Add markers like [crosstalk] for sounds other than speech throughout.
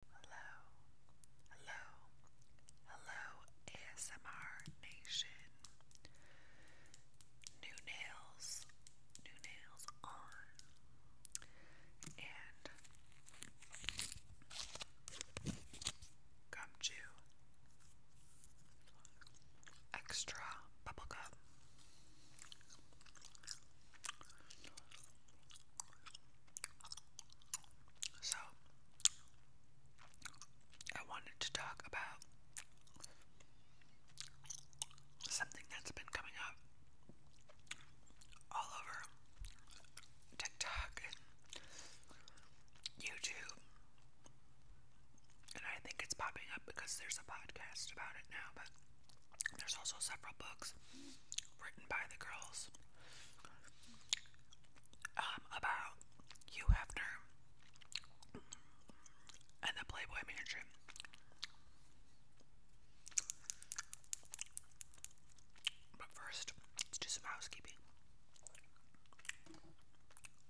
Hello, hello, hello, ASMR Nation. New nails, new nails on, and gum chew, extra bubble gum. So, I wanted to talk about something that's been coming up all over TikTok and YouTube. And I think it's popping up because there's a podcast about it now, but there's also several books written by the girls um, about Hugh Hefner and the Playboy Mansion. But first, let's do some housekeeping.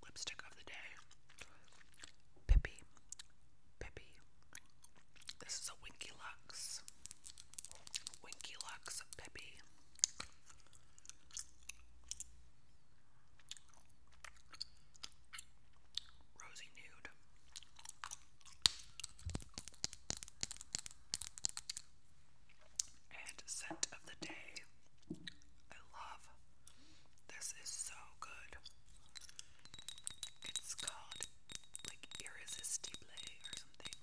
Lipstick of the day. Pippi. Pippi. This is a Winky Lux. Winky Lux Peppy. Rosy Nude. And scent of the day. I love this is so good. It's called like irresistible or something.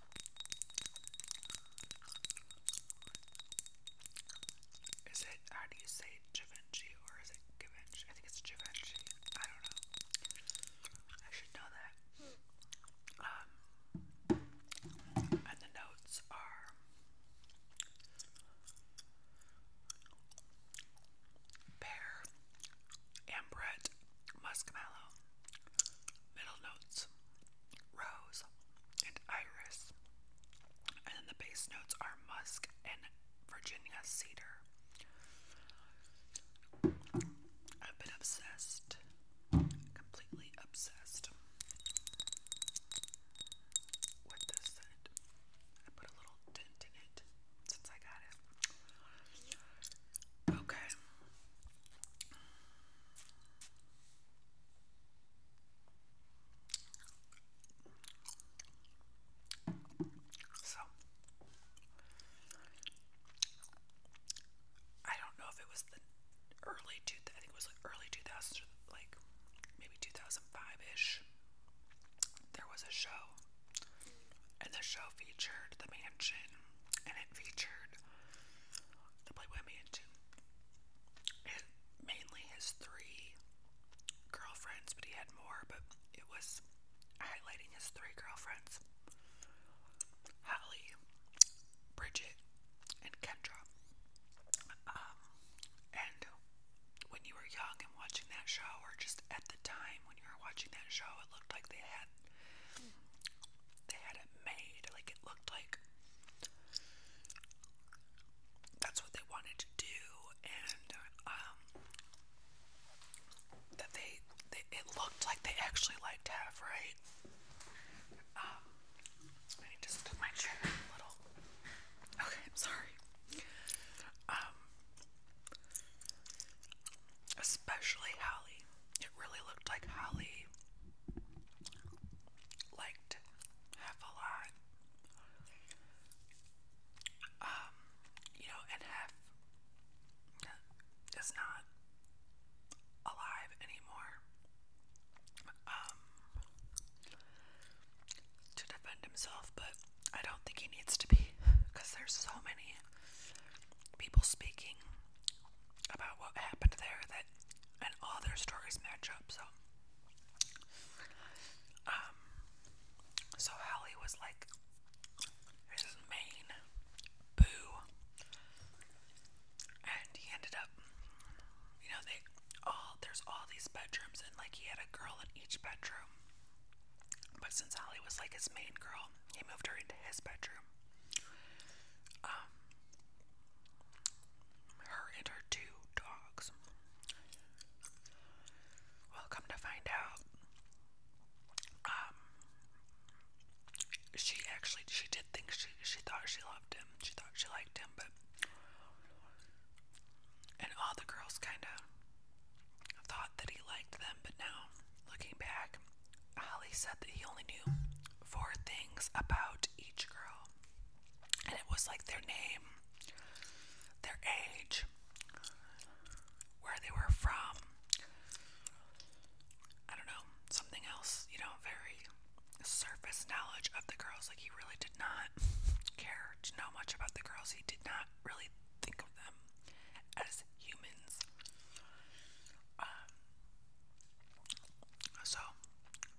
Is it how do you say Givenchy or is it Givenchy? I think it's Givenchy. I don't know. I should know that. Um, and the notes are pear, Ambrette, Muskmallow, middle notes, rose, and iris. And the base notes are musk and Virginia cedar. I've been obsessed, completely obsessed with this scent. I put a little tint in it since I got it. Okay, so, I don't know if it was the early two. I think it was like early two thousands, like maybe two thousand five ish. There was a show and the show featured the mansion, and it featured the Playboy Mansion, and mainly his three girlfriends, but he had more, but it was highlighting his three girlfriends Holly, Bridget, and Kendra. Um, and when you were young and watching that show, or just at the time when you were watching that show, it looked like they had they had it made. Like it looked like that's what they wanted to do, and um, that they, it looked like they actually liked half, right? Um, I need to my chair a little. Okay, I'm sorry. Um, especially Hallie. It really looked like Holly liked half a lot. Um, you know, and is not alive anymore. Um, to defend himself, but I don't think he needs to be because there's so many people speaking about what happened there that and all their stories match up so um so Hallie was like this is boo and he ended up you know they all there's all these bedrooms and like he had a girl in each bedroom but since Allie was like his main girl, he moved her into his bedroom. Um, her and her two dogs. Well, come to find out, um, she actually she did think she she thought she loved him. She thought she liked him, but and all the girls kind of thought that he liked them, but now, looking back, Holly said that he only knew four things about each girl, and it was like their name, their age, where they were from, I don't know, something else, you know, very surface knowledge of the girls. Like, he really did not [laughs] care to know much about the girls, he did not really think of them as humans. Um, so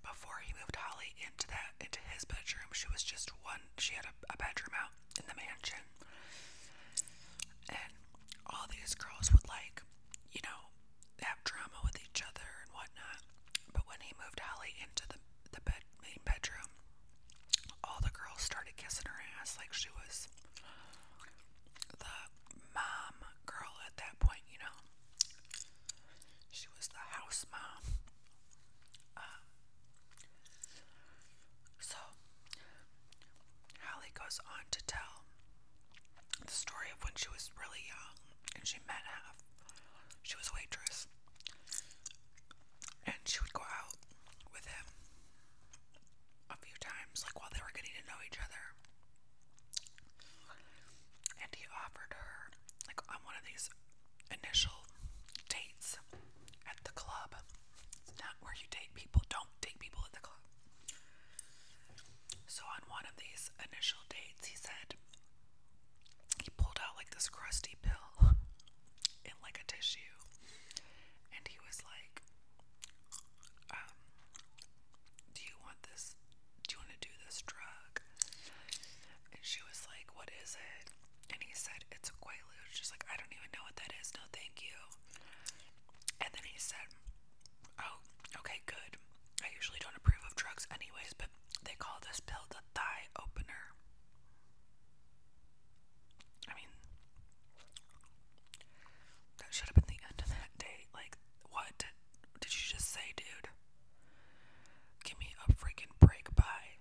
before he moved Holly into that into his bedroom, she was just one. She had a, a bedroom out in the mansion, and all these girls would like, you know, have drama with each other and whatnot. But when he moved Holly into the the bed main bedroom, all the girls started kissing her ass like she was the mom girl at that point, you know. She was the house mom. Uh, so, Holly goes on to tell the story of when she was really young and she met half. She was a waitress. And she would go out with him a few times, like while they were getting to know each other. And he offered her, like on one of these initial dates at the club. It's not where you date people, don't date people at the club. So, on one of these initial dates, he said, he pulled out like this crusty pill [laughs] in like a tissue, and he was like, um, do you want this? Do you want to do this drug? And she was like, What is it? And he said, It's Quaalude. She's like, I don't even know what that is. No, thank you. And then he said, Oh, okay, good. I usually don't approve of drugs, anyways, but they call this pill the thigh opener. I mean, that should have been the end of that date. Like, what did, you just say, dude? Give me a freaking break. Bye.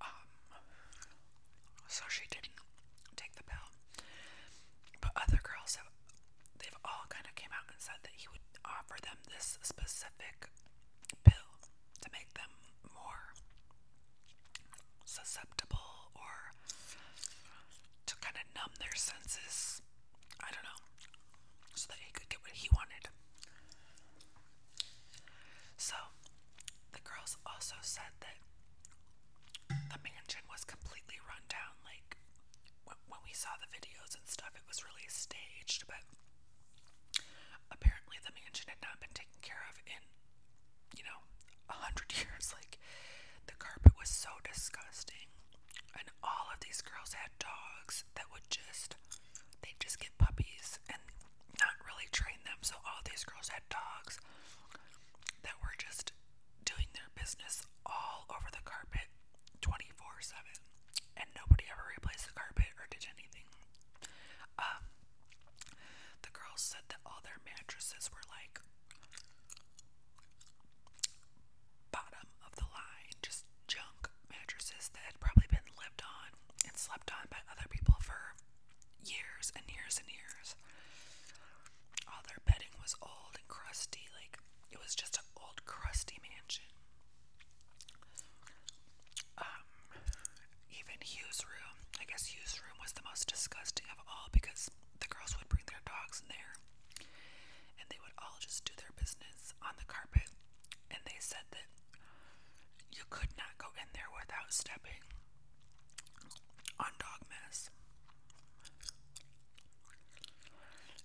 Um, so she didn't take the pill. But other girls have, they've all kind of came out and said that he would offer them this specific pill to make them more susceptible or to kind of numb their senses. I don't know. So that he could get what he wanted. So the girls also said that the mansion was completely run down. Like when we saw the videos and stuff, it was really staged, but apparently the mansion had not been taken care of in you know, a hundred [laughs] years. Like the carpet was so disgusting. And all of these girls had dogs that would just they just get puppies and not really train them. So all these girls had dogs that were just doing their business all over the carpet 24/7 and nobody ever replaced the carpet or did anything. Um, the girls said that all their mattresses were like bottom of the line, just junk mattresses that had probably been lived on and slept on by other people for years and years and years. All their bedding was old and crusty, like it was just an old crusty mansion. Um, even Hugh's room. I guess Hugh's room was the most disgusting of all because the girls would bring their dogs in there and they would all just do their business on the carpet. And they said that you could not go in there without stepping on dog mess.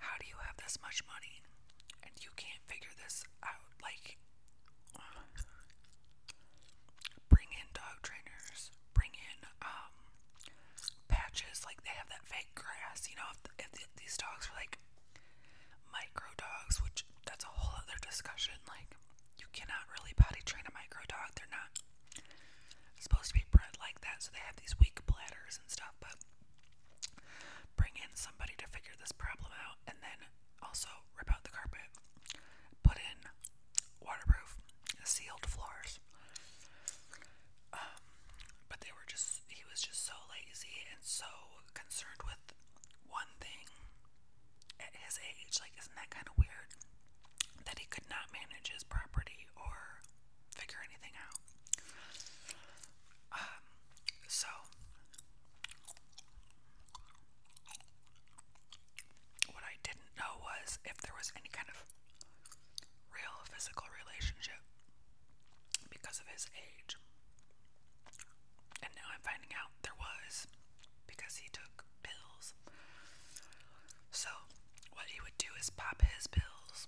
How do you have this much money and you can't figure this out? Like, bring in dog trainers, bring in um, patches, like they have that fake grass, you know, if, these dogs are like micro dogs, which that's a whole other discussion, like you cannot really potty train a micro dog, they're not supposed to be bred like that, so they have these weak bladders and stuff, but bring in somebody to figure this problem out, and then also, rip out the carpet, put in waterproof, sealed floors. Um, but they were just, he was just so lazy and so concerned with one thing at his age. Like, isn't that kind of weird that he could not manage his property or figure anything out? Um, so what I didn't know was if there was any kind of real physical relationship because of his age. And now I'm finding out there was because he took pills. So, what he would do is pop his pills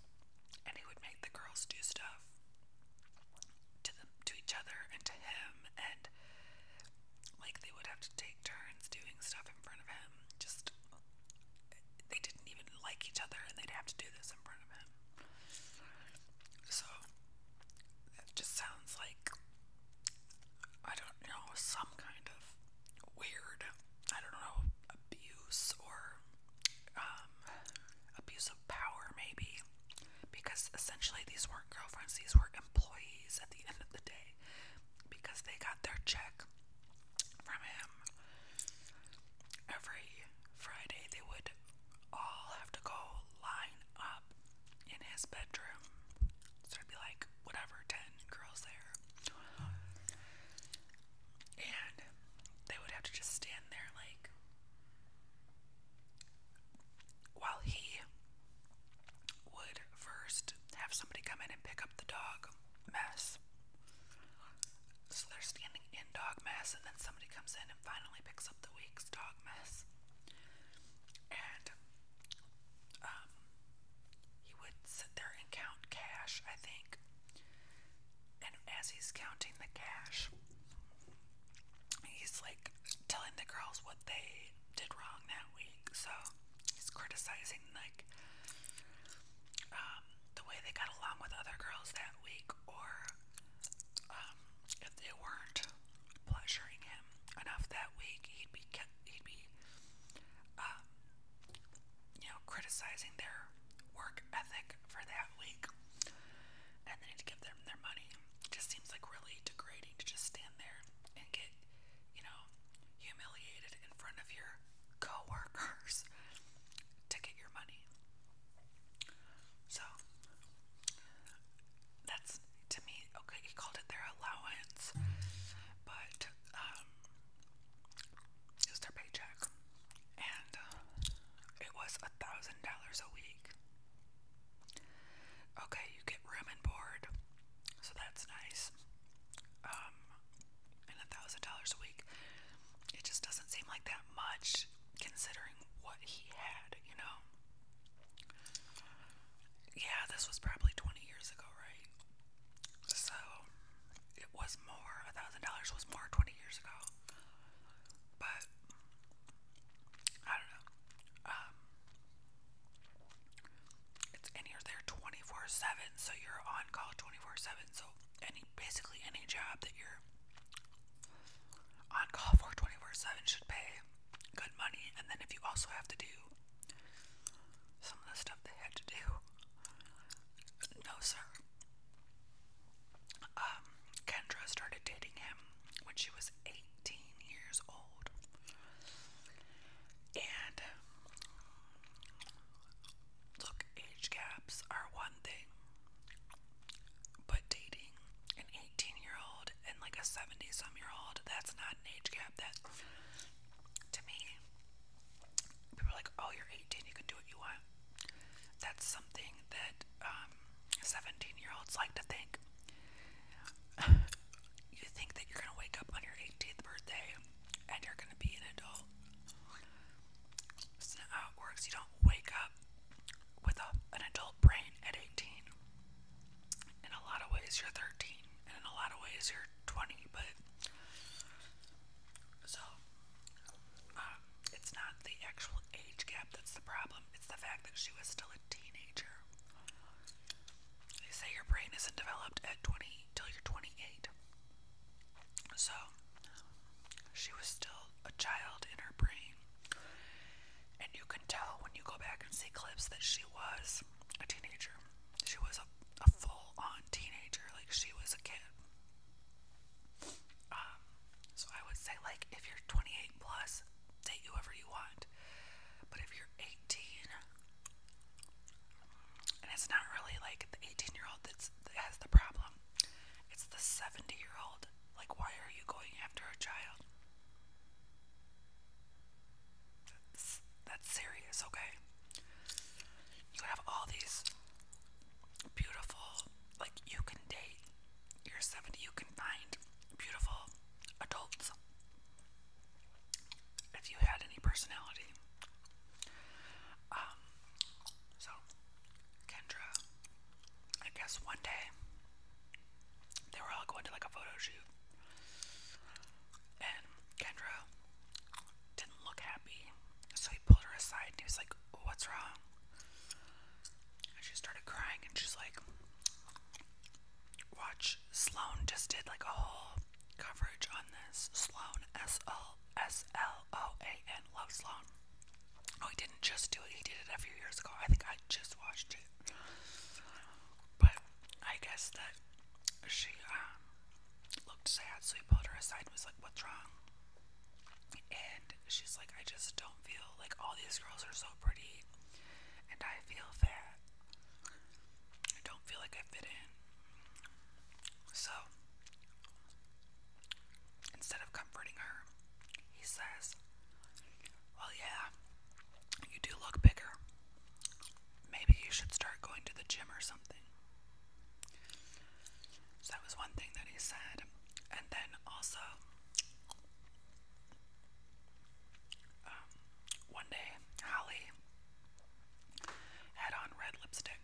and he would make the girls do stuff to them to each other and to him and like they would have to take turns doing stuff in front of him. Just they didn't even like each other, and they'd have to do this in front of him. So that just sounds like I don't know some kind of weird. I don't know abuse or um, abuse of power, maybe. Because essentially, these weren't girlfriends; these were employees. At the end of the day because they got their check from him. Every Friday, they would all have to go line up in his bedroom. So it'd be like, whatever, 10 girls there. And they would have to just stand there, like, while he would first have somebody come in and pick up the dog mess. So they're standing in dog mess, and then somebody comes in and finally picks up the week's dog mess. And um, he would sit there and count cash, I think. And as he's counting the cash, he's like telling the girls what they did wrong that week. So he's criticizing like um, the way they got along with other girls that week, or um, if they weren't pleasuring him enough that week, he'd be he'd be um, you know criticizing their work ethic for that week, and then he'd give them their money. just seems like really degrading to just stand there and get you know, humiliated in front of your coworkers [laughs] to get your money. So that's to me okay. He called it their allowance, but um, their paycheck, and uh, it was a thousand dollars a week. Okay, you get room and board, so that's nice. Um, and a thousand dollars a week. It just doesn't seem like that much considering what he had, you know. Yeah, this was probably 20 years ago, right? So it was more. A thousand dollars was more 20 years ago. But I don't know. Um, it's and you there 24 7, so you're on call 24 7. So, any basically any job that you're on call for 24 7 should pay good money. And then, if you also have to do some of the stuff they had to do, no, sir. Um, Kendra started dating him when she was 18 years old. And um, look, age gaps are one thing, but dating an 18 year old and like a 70 some year old, that's not an age gap. That to me, people are like, oh, you're 18, you can do what you want. That's something that um, 17 year olds like to think. [sighs] you think that you're gonna wake up on your 18th birthday and you're gonna be an adult. It's not how it works. You don't wake up with a, an adult brain at 18. In a lot of ways, you're 13, and in a lot of ways, you're 20, but so um, it's not the actual age gap that's the problem, it's the fact that she was still a teenager. They say your brain isn't developed at 20 till you're 28. So she was still a child in her brain. And you can tell when you go back and see clips that she was a teenager. She was a, full on teenager, like she was a kid. Um, so I would say, like, if you're 28 plus, date whoever you want. But if you're 18, and it's not really like the 18 year old that's, has the problem, it's the 70 year old. Like, why are you going after a child? that's serious, okay? You have all these beautiful, like, you can date. You're 70, you can find beautiful adults. If you had any personality. Um, so, Kendra, I guess one day they were all going to like a photo shoot, and Kendra didn't look happy, so he pulled her aside and he was like, What's wrong? And she started crying, and she's like, Watch Sloan just did like a whole coverage on this. Sloan S L S L O A N. Love Sloan. Oh, he didn't just do it, he did it a few years ago. I think I just watched it. But I guess that she um, looked sad, so he pulled her aside and was like, What's wrong? And she's like, I just don't feel like all these girls are so pretty and I feel fat. I don't feel like I fit in. So, instead of comforting her, he says, Well, yeah, you do look bigger. Maybe you should start going to the gym or something. So, that was one thing that he said. And then also, one day, Holly had on red lipstick,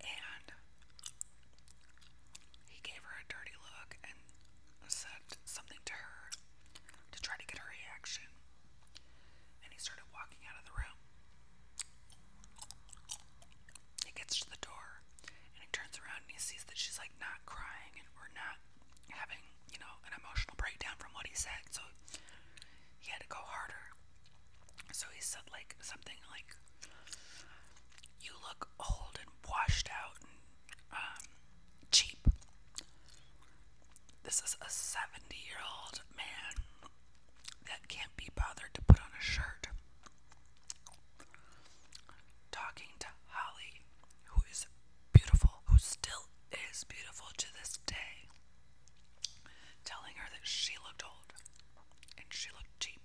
and he gave her a dirty look and said something to her to try to get her reaction. And he started walking out of the room. He gets to the door her. And he turns around and he sees that she's like not crying and we're not having, you know, an emotional breakdown from what he said. So he had to go harder. So he said like something like, "You look old and washed out and um, cheap. This is a seventy-year-old man that can't be bothered to put on a shirt." Talking to Holly, who is beautiful, who still is beautiful to this day, telling her that she looked old and she looked cheap.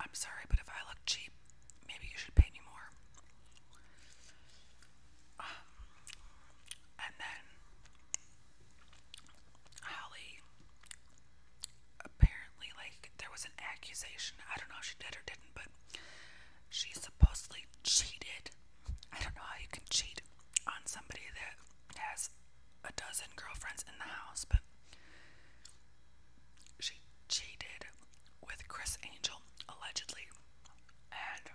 I'm sorry, but if I look cheap, maybe you should pay me more. Um, and then Holly apparently, like, there was an accusation. I don't know if she did or didn't, but she supposedly cheated. I don't know how you can cheat on somebody that has a dozen girlfriends in the house, but she cheated with Chris Angel, allegedly. And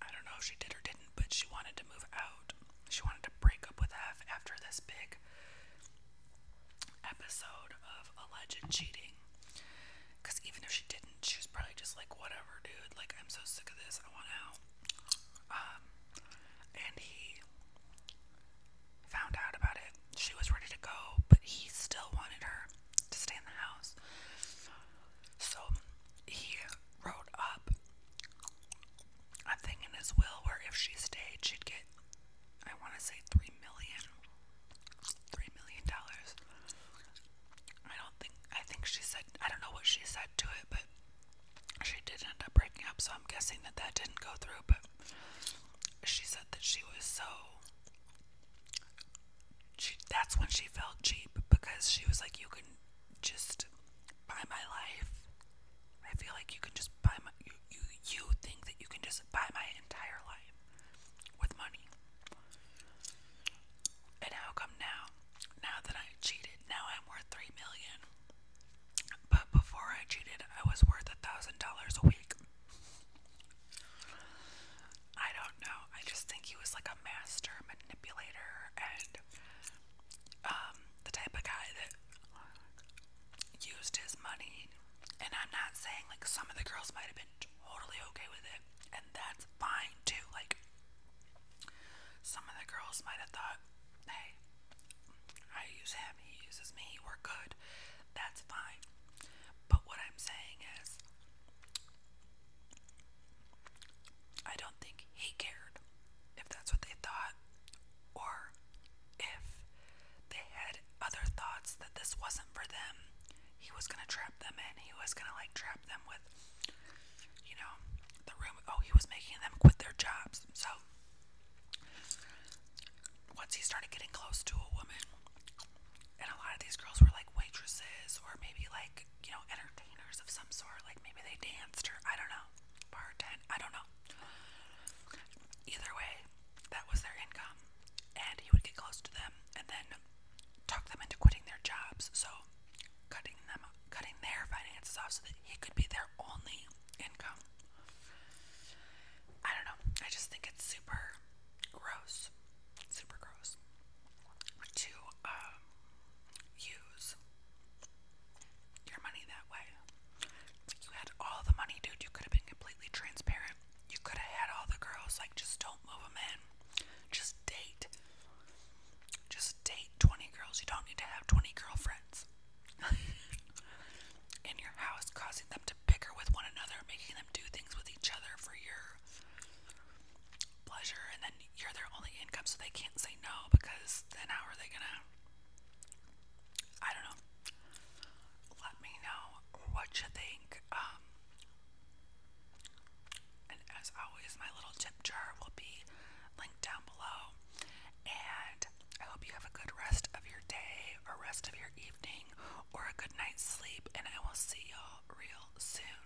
I don't know if she did or didn't, but she wanted to move out. She wanted to break up with F after this big episode of alleged cheating. Because even if she didn't, she was probably just like, whatever, dude. Like, I'm so sick of this. I want out. Um, and he found out about it. She was ready to go, but he still wanted her to stay in the house. So he wrote up a thing in his will where if she stayed, she'd get, I want to say, three million, three million dollars. I don't think, I think she said, I don't know what she said to it, but she did end up breaking up, so I'm guessing that that didn't go through, but she said that she was so. She, that's when she felt cheap because she was like, You can just buy my life. I feel like you can just buy my you you, you think that you can just buy my entire life with money. And how come now? Now that I cheated, now I'm worth three million. But before I cheated, I was worth a thousand dollars a week. I don't know. I just think he was like a master manipulator and um, the type of guy that used his money. And I'm not saying like some of the girls might have been totally okay with it, and that's fine too. Like, some of the girls might have thought, hey, I use him, he uses me, we're good. That's fine. But what I'm saying is, I don't think he cared if that's what they thought or if they had other thoughts that this wasn't for them. He was going to trap them and He was going to like trap them with you know, the room. Oh, he was making them quit their jobs. So once he started getting close to a woman, and a lot of these girls were like waitresses or maybe like like, you know, entertainers of some sort. Like maybe they danced or I don't know, bartend, I don't know. Either way, that was their income. And he would get close to them and then talk them into quitting their jobs. So cutting them cutting their finances off so that he could be their only income. I don't know. I just think it's super gross. Super gross to um, use your money that way. You had all the money, dude. You could have been completely transparent. You could have had all the girls. Like, just don't move them in. Just date. Just date 20 girls. You don't need to have 20 girlfriends [laughs] in your house, causing them to bicker with one another, making them do things with each other for your pleasure and then you're their only income so they can't say no because then how are they gonna I don't know. Let me know what you think. Um, and as always my little tip jar will be linked down below. And I hope you have a good rest of your day or rest of your evening or a good night's sleep and I will see y'all real soon.